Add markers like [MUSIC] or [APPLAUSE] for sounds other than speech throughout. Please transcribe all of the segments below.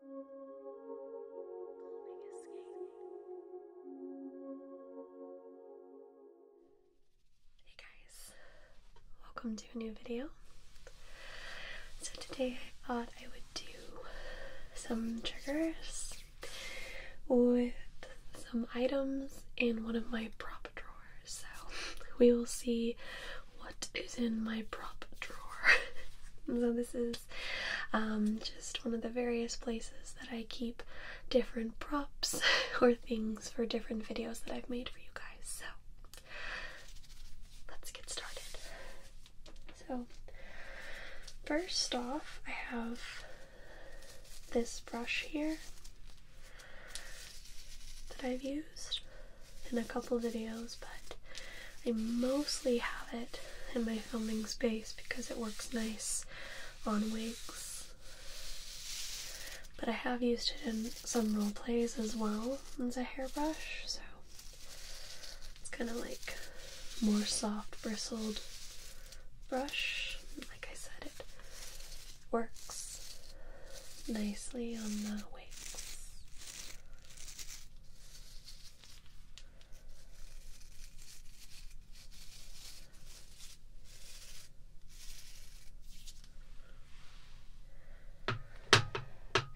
Hey guys, welcome to a new video. So today I thought I would do some triggers with some items in one of my prop drawers. So we will see what is in my prop drawer. [LAUGHS] so this is um, just one of the various places that I keep different props [LAUGHS] or things for different videos that I've made for you guys. So let's get started. So first off, I have this brush here that I've used in a couple videos, but I mostly have it in my filming space because it works nice on wigs. But I have used it in some role plays as well as a hairbrush, so it's kind of like more soft bristled brush. Like I said, it works nicely on the wigs.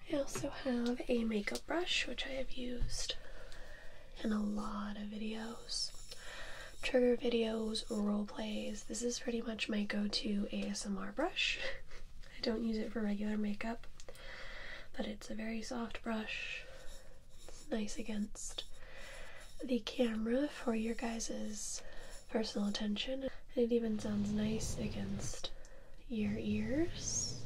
I also have a makeup brush which I have used in a lot of videos. Trigger videos, role plays. This is pretty much my go to ASMR brush. [LAUGHS] I don't use it for regular makeup, but it's a very soft brush. It's nice against the camera for your guys' personal attention. It even sounds nice against your ears.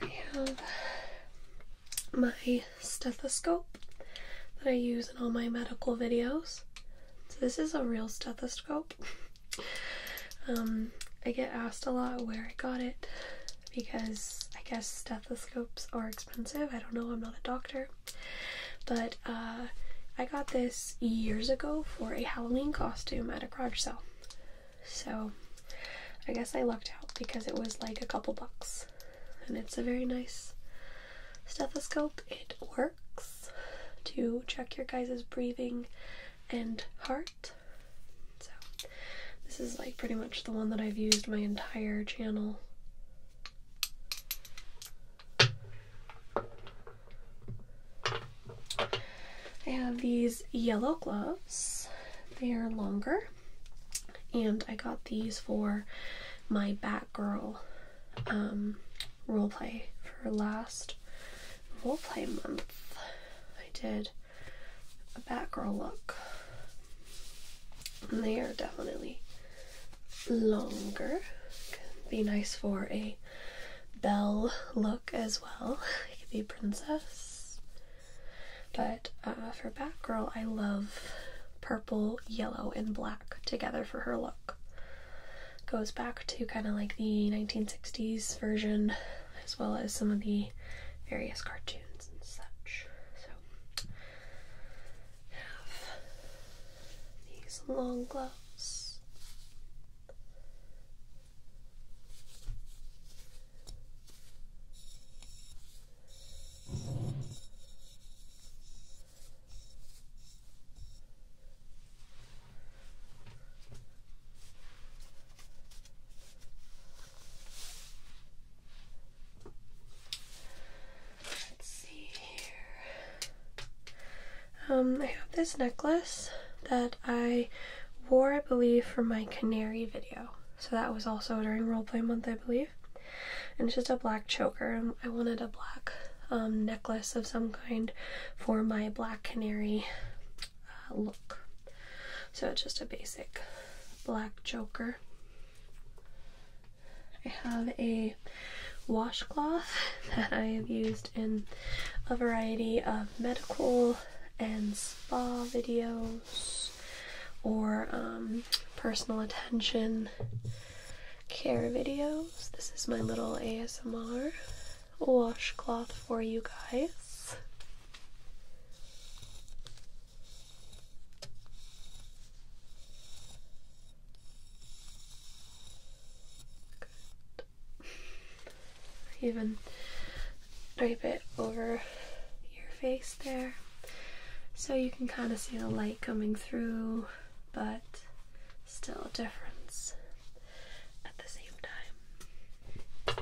I have my stethoscope that I use in all my medical videos. So this is a real stethoscope. um, I get asked a lot where I got it because I guess stethoscopes are expensive. I don't know, I'm not a doctor. But uh, I got this years ago for a Halloween costume at a garage sale. So I guess I lucked out because it was like a couple bucks. And it's a very nice stethoscope. It works to check your guys' breathing and heart. So, this is like pretty much the one that I've used my entire channel. I have these yellow gloves. They are longer, and I got these for my Batgirl girl. Um, roleplay for last roleplay month. I did a Batgirl look. And they are definitely longer. Could be nice for a Belle look as well. [LAUGHS] It could be princess. But uh, for Batgirl, I love purple, yellow, and black together for her look goes back to kind of like the 1960s version, as well as some of the various cartoons and such. So, have these long gloves. Let's see here. Um, I have this necklace that I wore, I believe, for my canary video. So that was also during roleplay month, I believe. And it's just a black choker. Um, I wanted a black um, necklace of some kind for my black canary uh, look. So it's just a basic black joker. I have a washcloth [LAUGHS] that I have used in a variety of medical and spa videos or um, personal attention care videos. This is my little ASMR washcloth for you guys. Even drape it over your face there so you can kind of see the light coming through but still a difference at the same time.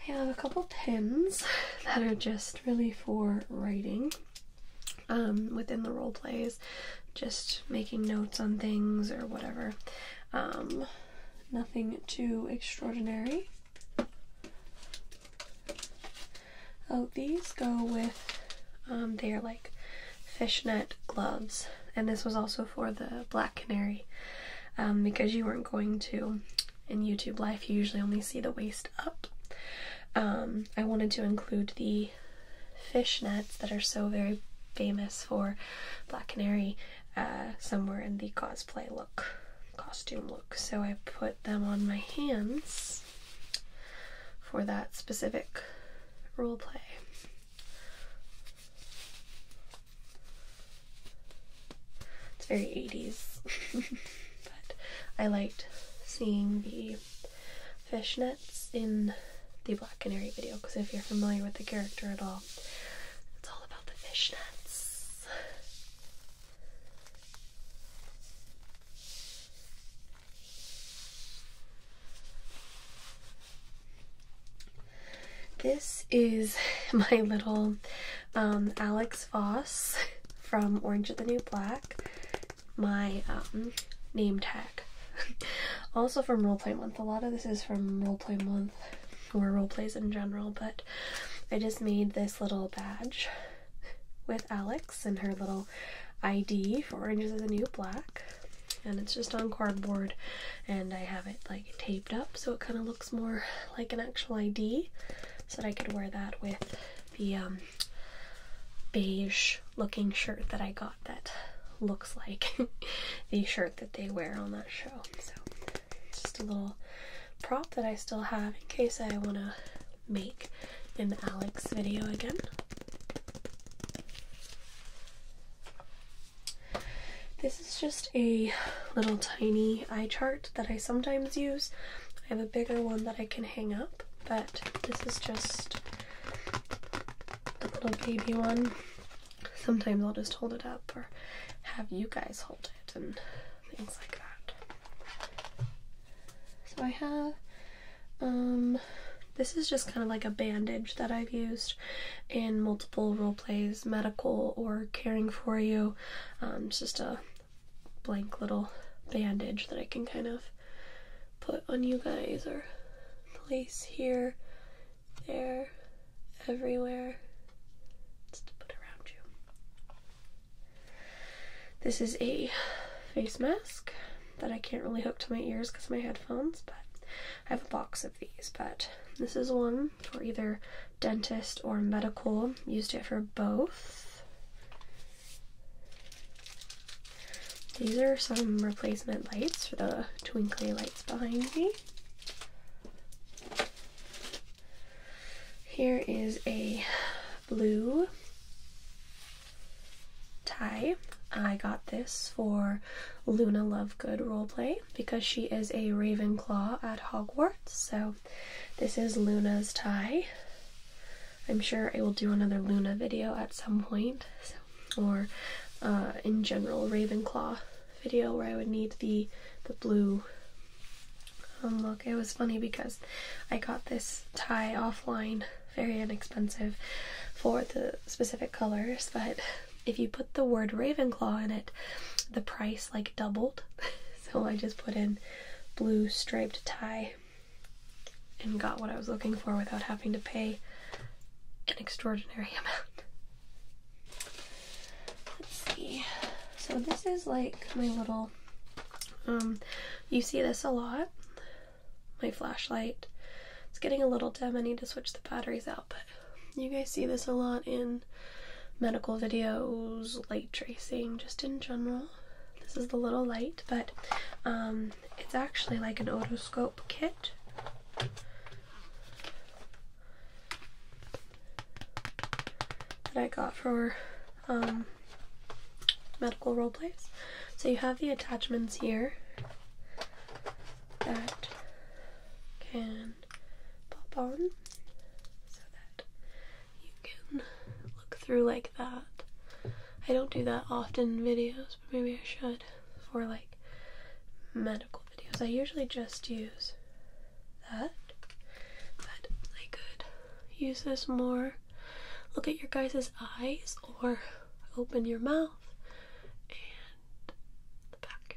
I have a couple pins that are just really for writing um, within the role plays, just making notes on things or whatever. Um, nothing too extraordinary. Oh, these go with, um, they are like fishnet gloves, and this was also for the Black Canary um, because you weren't going to in YouTube life, you usually only see the waist up. Um, I wanted to include the fishnets that are so very famous for Black Canary uh, somewhere in the cosplay look, costume look so I put them on my hands for that specific role play. It's very 80s, [LAUGHS] but I liked seeing the fishnets in the Black Canary video because if you're familiar with the character at all, it's all about the fishnets. This is [LAUGHS] my little um, Alex Voss [LAUGHS] from Orange is the New Black, my um, name tag. [LAUGHS] also from Roleplay Month. A lot of this is from Roleplay Month or roleplays in general, but I just made this little badge with Alex and her little ID for Orange is the New Black. And it's just on cardboard, and I have it like taped up so it kind of looks more like an actual ID. So that I could wear that with the um, beige looking shirt that I got that looks like [LAUGHS] the shirt that they wear on that show. So it's just a little prop that I still have in case I want to make an Alex video again. This is just a little tiny eye chart that I sometimes use. I have a bigger one that I can hang up, but this is just a little baby one. Sometimes I'll just hold it up or have you guys hold it and things like that. So I have um this is just kind of like a bandage that I've used in multiple role plays, medical or caring for you. Um, it's just a blank little bandage that I can kind of put on you guys or place here, there, everywhere, just put around you. This is a face mask that I can't really hook to my ears because of my headphones, but I have a box of these. But this is one for either dentist or medical. Used it for both. These are some replacement lights for the twinkly lights behind me. Here is a blue tie. I got this for Luna Lovegood roleplay because she is a Ravenclaw at Hogwarts. So this is Luna's tie. I'm sure I will do another Luna video at some point, or uh, in general Ravenclaw video where I would need the the blue um, look, it was funny because I got this tie offline, very inexpensive for the specific colors, but if you put the word Ravenclaw in it, the price like doubled. [LAUGHS] so I just put in blue striped tie and got what I was looking for without having to pay an extraordinary [LAUGHS] amount. Let's see. So this is like my little um you see this a lot. My flashlight. It's getting a little dim. I need to switch the batteries out, but you guys see this a lot in medical videos, light tracing, just in general. This is the little light, but um it's actually like an otoscope kit that I got for um, medical role plays. So you have the attachments here that can pop on so that you can look through like that. I don't do that often in videos, but maybe I should for like medical videos. I usually just use that. But I could use this more. Look at your guys' eyes or open your mouth and the back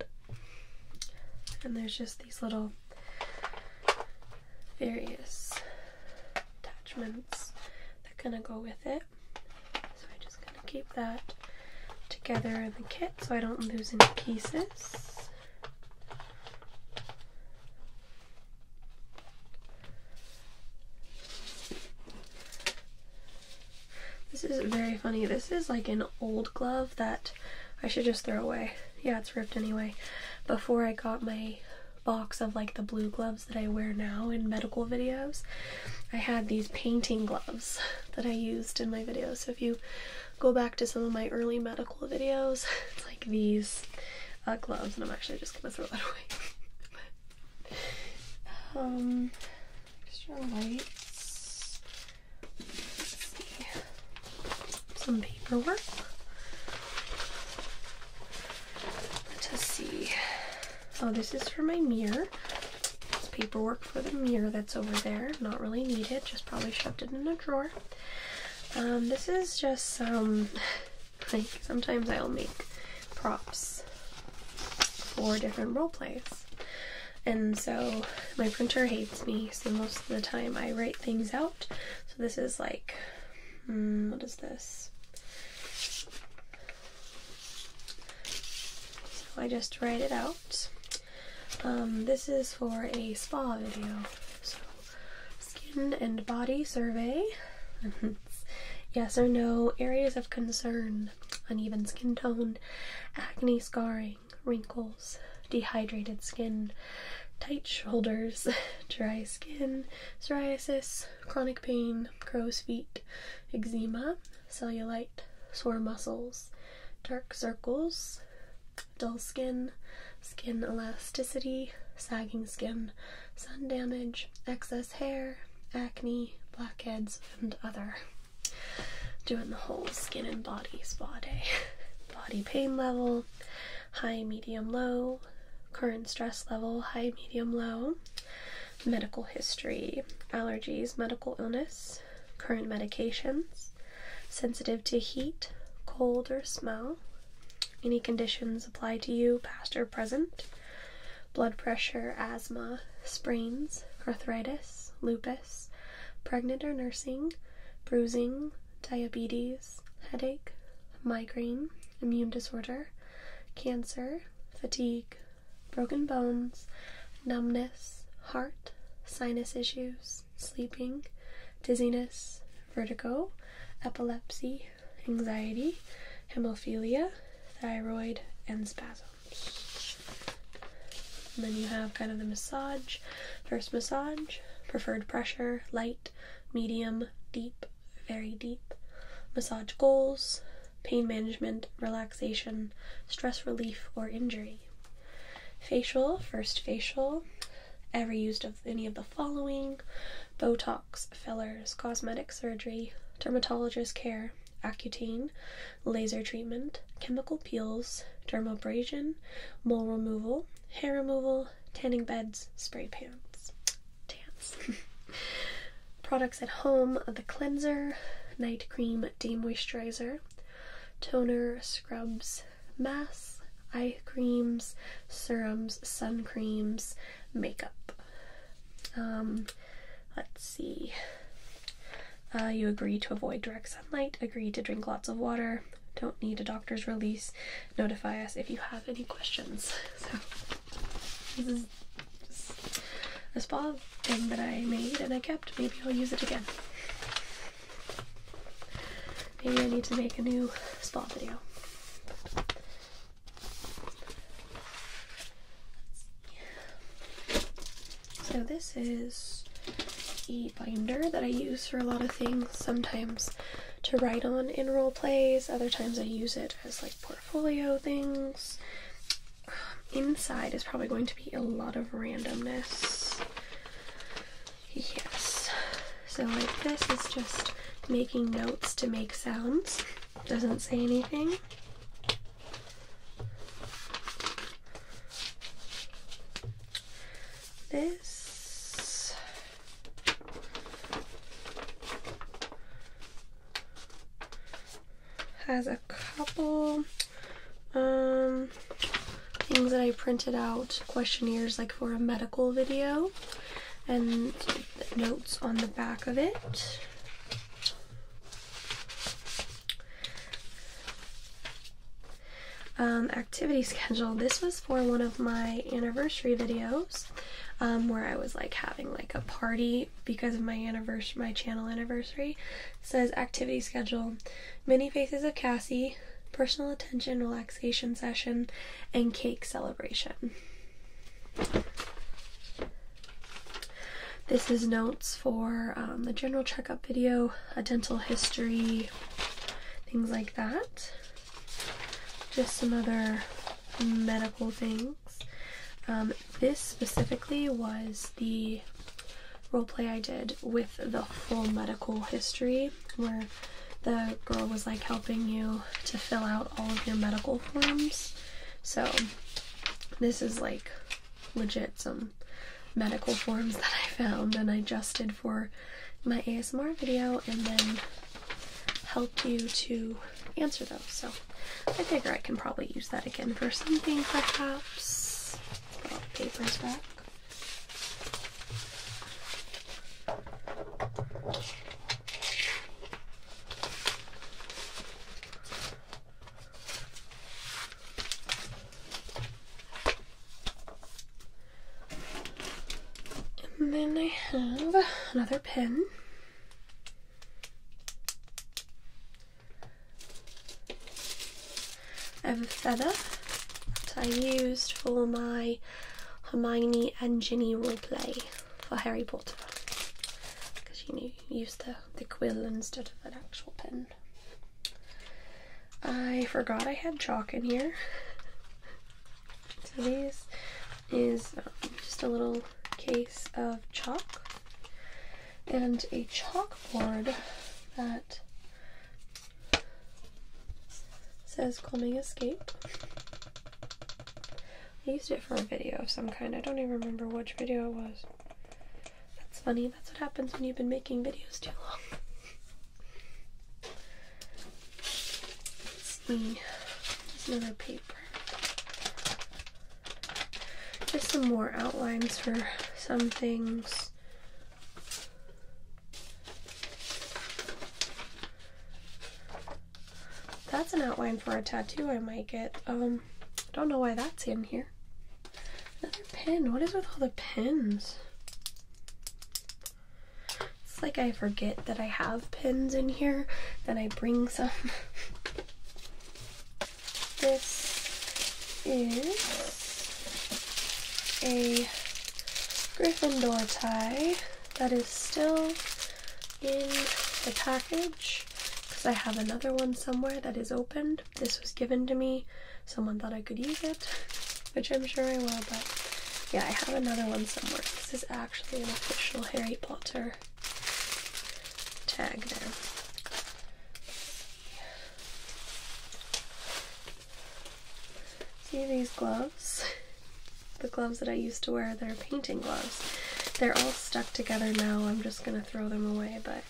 of your throat. And there's just these little various attachments that kind of go with it. So I'm just going to keep that together in the kit so I don't lose any pieces. This is very funny. This is like an old glove that I should just throw away. Yeah, it's ripped anyway. Before I got my box of like the blue gloves that I wear now in medical videos, I had these painting gloves [LAUGHS] that I used in my videos. So if you go back to some of my early medical videos. [LAUGHS] It's like these uh, gloves, and I'm actually just gonna throw that [LAUGHS] away. um, extra lights. Let's see. Some paperwork. Let us see. Oh, this is for my mirror. It's paperwork for the mirror that's over there. Not really needed, just probably shoved it in a drawer. Um, this is just some, [LAUGHS] like, sometimes I'll make props for different role plays. And so my printer hates me, so most of the time I write things out. So this is like, hmm, what is this? So I just write it out um, this is for a spa video, so skin and body survey. [LAUGHS] yes or no areas of concern: uneven skin tone, acne scarring, wrinkles, dehydrated skin, tight shoulders, [LAUGHS] dry skin, psoriasis, chronic pain, crow's feet, eczema, cellulite, sore muscles, dark circles, dull skin, skin elasticity, sagging skin, sun damage, excess hair, acne, blackheads, and other. Doing the whole skin and body spa day. [LAUGHS] Body pain level, high, medium, low, current stress level, high, medium, low, medical history, allergies, medical illness, current medications, sensitive to heat, cold, or smell, any conditions apply to you, past or present, blood pressure, asthma, sprains, arthritis, lupus, pregnant or nursing, bruising, diabetes, headache, migraine, immune disorder, cancer, fatigue, broken bones, numbness, heart, sinus issues sleeping, dizziness, vertigo, epilepsy, anxiety, hemophilia, thyroid, and spasms. And then you have kind of the massage, first massage, preferred pressure, light, medium, deep, very deep, massage goals, pain management, relaxation, stress relief, or injury facial, first facial, ever used of any of the following Botox, fillers, cosmetic surgery, dermatologist care, Accutane, laser treatment, chemical peels, dermabrasion, mole removal, hair removal, tanning beds, spray pants, tans. [LAUGHS] Products at home the cleanser, night cream, moisturizer toner, scrubs, masks, eye creams, serums, sun creams, makeup. Um, let's see. Uh, you agree to avoid direct sunlight, agree to drink lots of water, don't need a doctor's release, notify us if you have any questions. [LAUGHS] So, this is a spa thing that I made and I kept. Maybe I'll use it again. Maybe I need to make a new spa video. So this is a binder that I use for a lot of things. Sometimes to write on in role plays. Other times I use it as like portfolio things inside is probably going to be a lot of randomness. Yes. So, like, this is just making notes to make sounds, doesn't say anything. This has a couple um things that I printed out, questionnaires like for a medical video, and notes on the back of it. Um, activity [LAUGHS] schedule. This was for one of my anniversary videos um, where I was like having like a party because of my anniversary, my channel anniversary says activity schedule many faces of Cassie, personal attention relaxation session, and cake celebration. This is notes for um, the general checkup video, a dental history, things like that. Just some other medical things. Um, this specifically was the role play I did with the full medical history, where the girl was like helping you to fill out all of your medical forms. So, this is like legit some medical forms that I found and I adjusted for my ASMR video and then helped you to answer those. So, I figure I can probably use that again for something perhaps papers back. And then I have another pen. I have a feather that I used for my Hermione and Ginny role play for Harry Potter because you, know, used the, the quill instead of an actual pen. I forgot I had chalk in here. [LAUGHS] So this is um, just a little case of chalk and a chalkboard that says Plumbing Escape. I used it for a video of some kind. I don't even remember which video it was. That's funny. That's what happens when you've been making videos too long. let another paper just some more outlines for some things. That's an outline for a tattoo I might get. Um, don't know why that's in here. Another pin. What is with all the pins? It's like I forget that I have pins in here, then I bring some. [LAUGHS] This is a Gryffindor tie that is still in the package because I have another one somewhere that is opened. This was given to me. Someone thought I could use it, [LAUGHS] which I'm sure I will, but yeah, I have another one somewhere. This is actually an official Harry Potter tag there. See these gloves? [LAUGHS] The gloves that I used to wear, they're painting gloves. They're all stuck together now. I'm just going to throw them away, but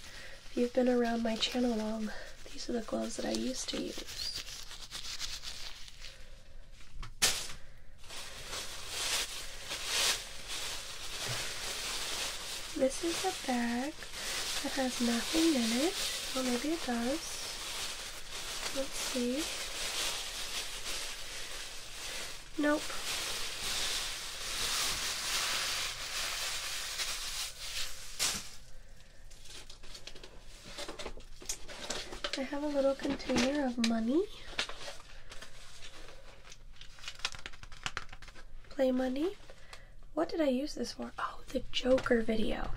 if you've been around my channel long, these are the gloves that I used to use. This is a bag that has nothing in it. well, maybe it does. Let's see. Nope. I have a little container of money. Play money. What did I use this for? Oh, the Joker video.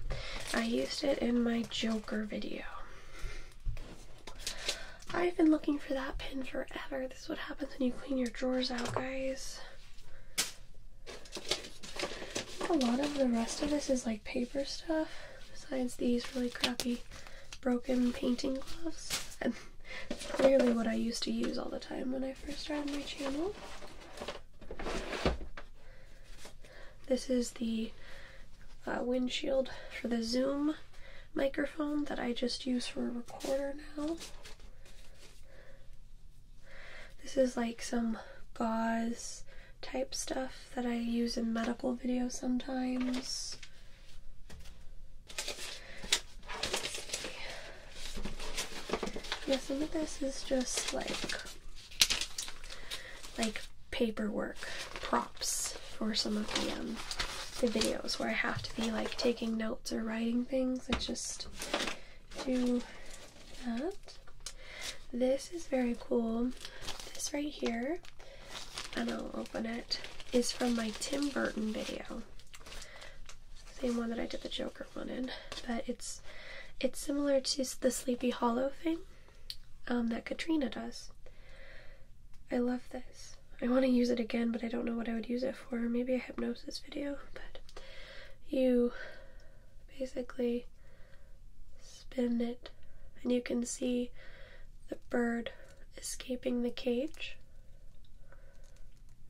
I used it in my Joker video. I've been looking for that pin forever. This is what happens when you clean your drawers out, guys. A lot of the rest of this is like paper stuff, besides these really crappy broken painting gloves clearly what I used to use all the time when I first started my channel. This is the uh, windshield for the Zoom microphone that I just use for a recorder now. This is like some gauze type stuff that I use in medical videos sometimes. Yeah, some of this is just like like paperwork props for some of the um the videos where I have to be like taking notes or writing things. I just do that. This is very cool. This right here, and I'll open it, is from my Tim Burton video. Same one that I did the Joker one in, but it's it's similar to the Sleepy Hollow thing um, that Katrina does. I love this. I want to use it again, but I don't know what I would use it for. Maybe a hypnosis video, but you basically spin it and you can see the bird escaping the cage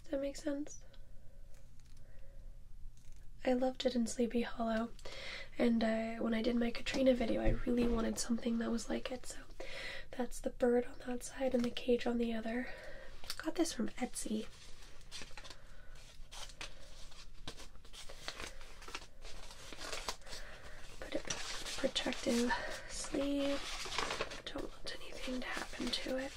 does that make sense? I loved it in Sleepy Hollow, and uh, when I did my Katrina video, I really wanted something that was like it. So that's the bird on that side and the cage on the other. Got this from Etsy. Put it back in the protective sleeve. Don't want anything to happen to it.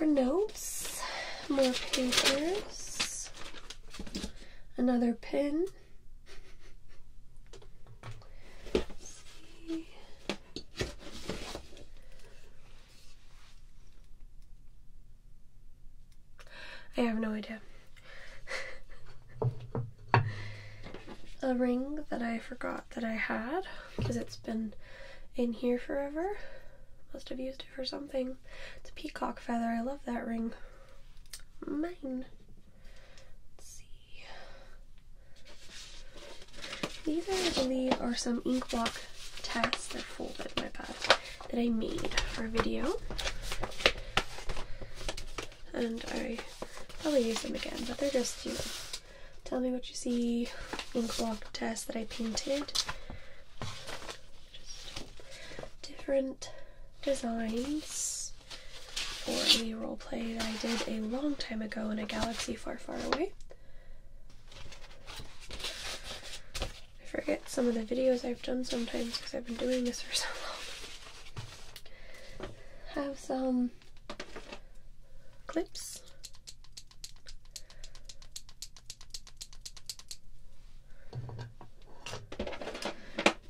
More notes, more papers, another pin. I have no idea. [LAUGHS] a ring that I forgot that I had because it's been in here forever. Must have used it for something. It's a peacock feather. I love that ring. Mine. Let's see. These, I believe, are some ink block tests. they folded, my bad. That I made for a video. And I probably use them again, but they're just, you know, Tell me what you see ink block test that I painted. Just different designs for a role play that I did a long time ago in a galaxy far, far away. I forget some of the videos I've done sometimes because I've been doing this for so long. Have some clips.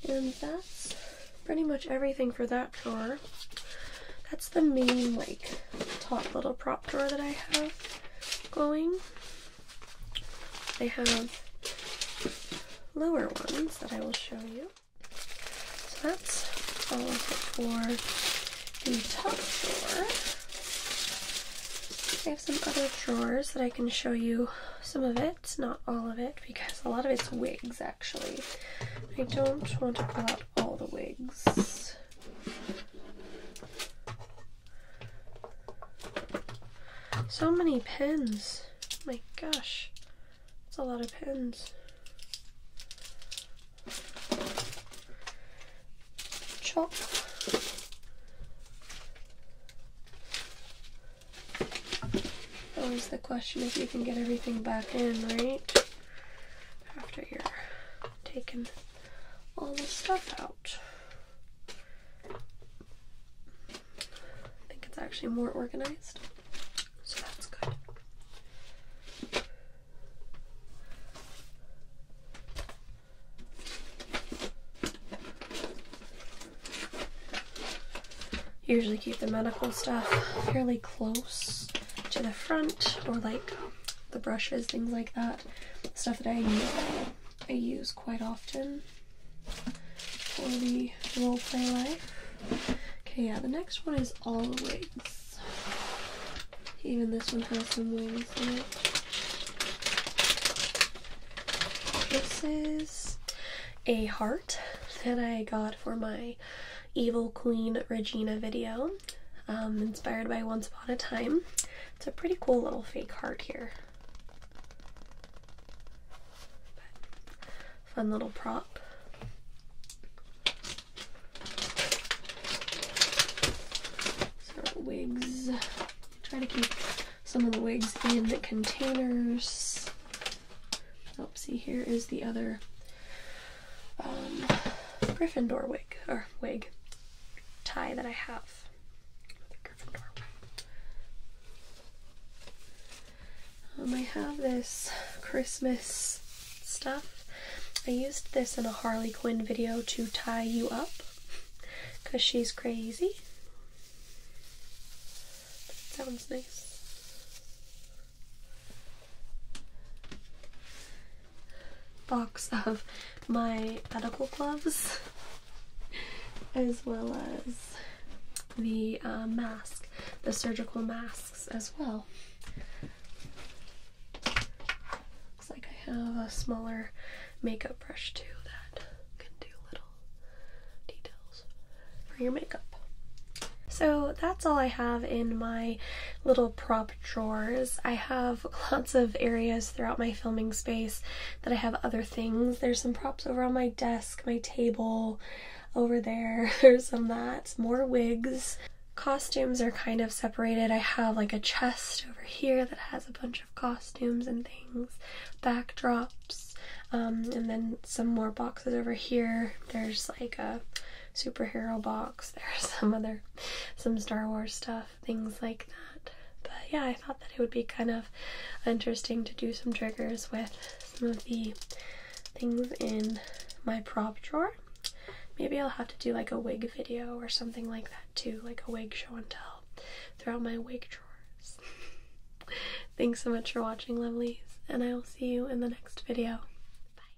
And that's pretty much everything for that drawer. That's the main, like, top little prop drawer that I have going. I have lower ones that I will show you. So that's all of it for the top drawer. I have some other drawers that I can show you some of it, not all of it, because a lot of it's wigs actually. I don't want to pull out all the wigs. So many pens. My gosh. That's a lot of pens. Chop. Always the question if you can get everything back in, right? After you're taking all the stuff out. I think it's actually more organized so that's good. Usually keep the medical stuff fairly close to the front or like the brushes, things like that. Stuff that I use, I use quite often for the role play life. Okay, yeah, the next one is all the wings. Even this one has some wings in it. This is a heart that I got for my Evil Queen Regina video, um, inspired by Once Upon a Time. It's a pretty cool little fake heart here fun little prop. wigs. Try to keep some of the wigs in the containers. Oopsie! here is the other um, Gryffindor wig or wig tie that I have. Um, I have this Christmas stuff. I used this in a Harley Quinn video to tie you up because she's crazy. sounds nice. Box of my medical gloves as well as the uh, mask, the surgical mask as well. Looks like I have a smaller makeup brush too that can do little details for your makeup. So that's all I have in my little prop drawers. I have [LAUGHS] lots of areas throughout my filming space that I have other things. There's some props over on my desk, my table, over there. [LAUGHS] There's some that. More wigs. Costumes are kind of separated. I have like a chest over here that has a bunch of costumes and things, backdrops, um, and then some more boxes over here. There's like a superhero box. [LAUGHS] There's some other, some Star Wars stuff, things like that. But yeah, I thought that it would be kind of interesting to do some triggers with some of the things in my prop drawer. Maybe I'll have to do like a wig video or something like that too, like a wig show and tell throughout my wig drawers. [LAUGHS] Thanks so much for watching, lovelies, and I will see you in the next video. Bye.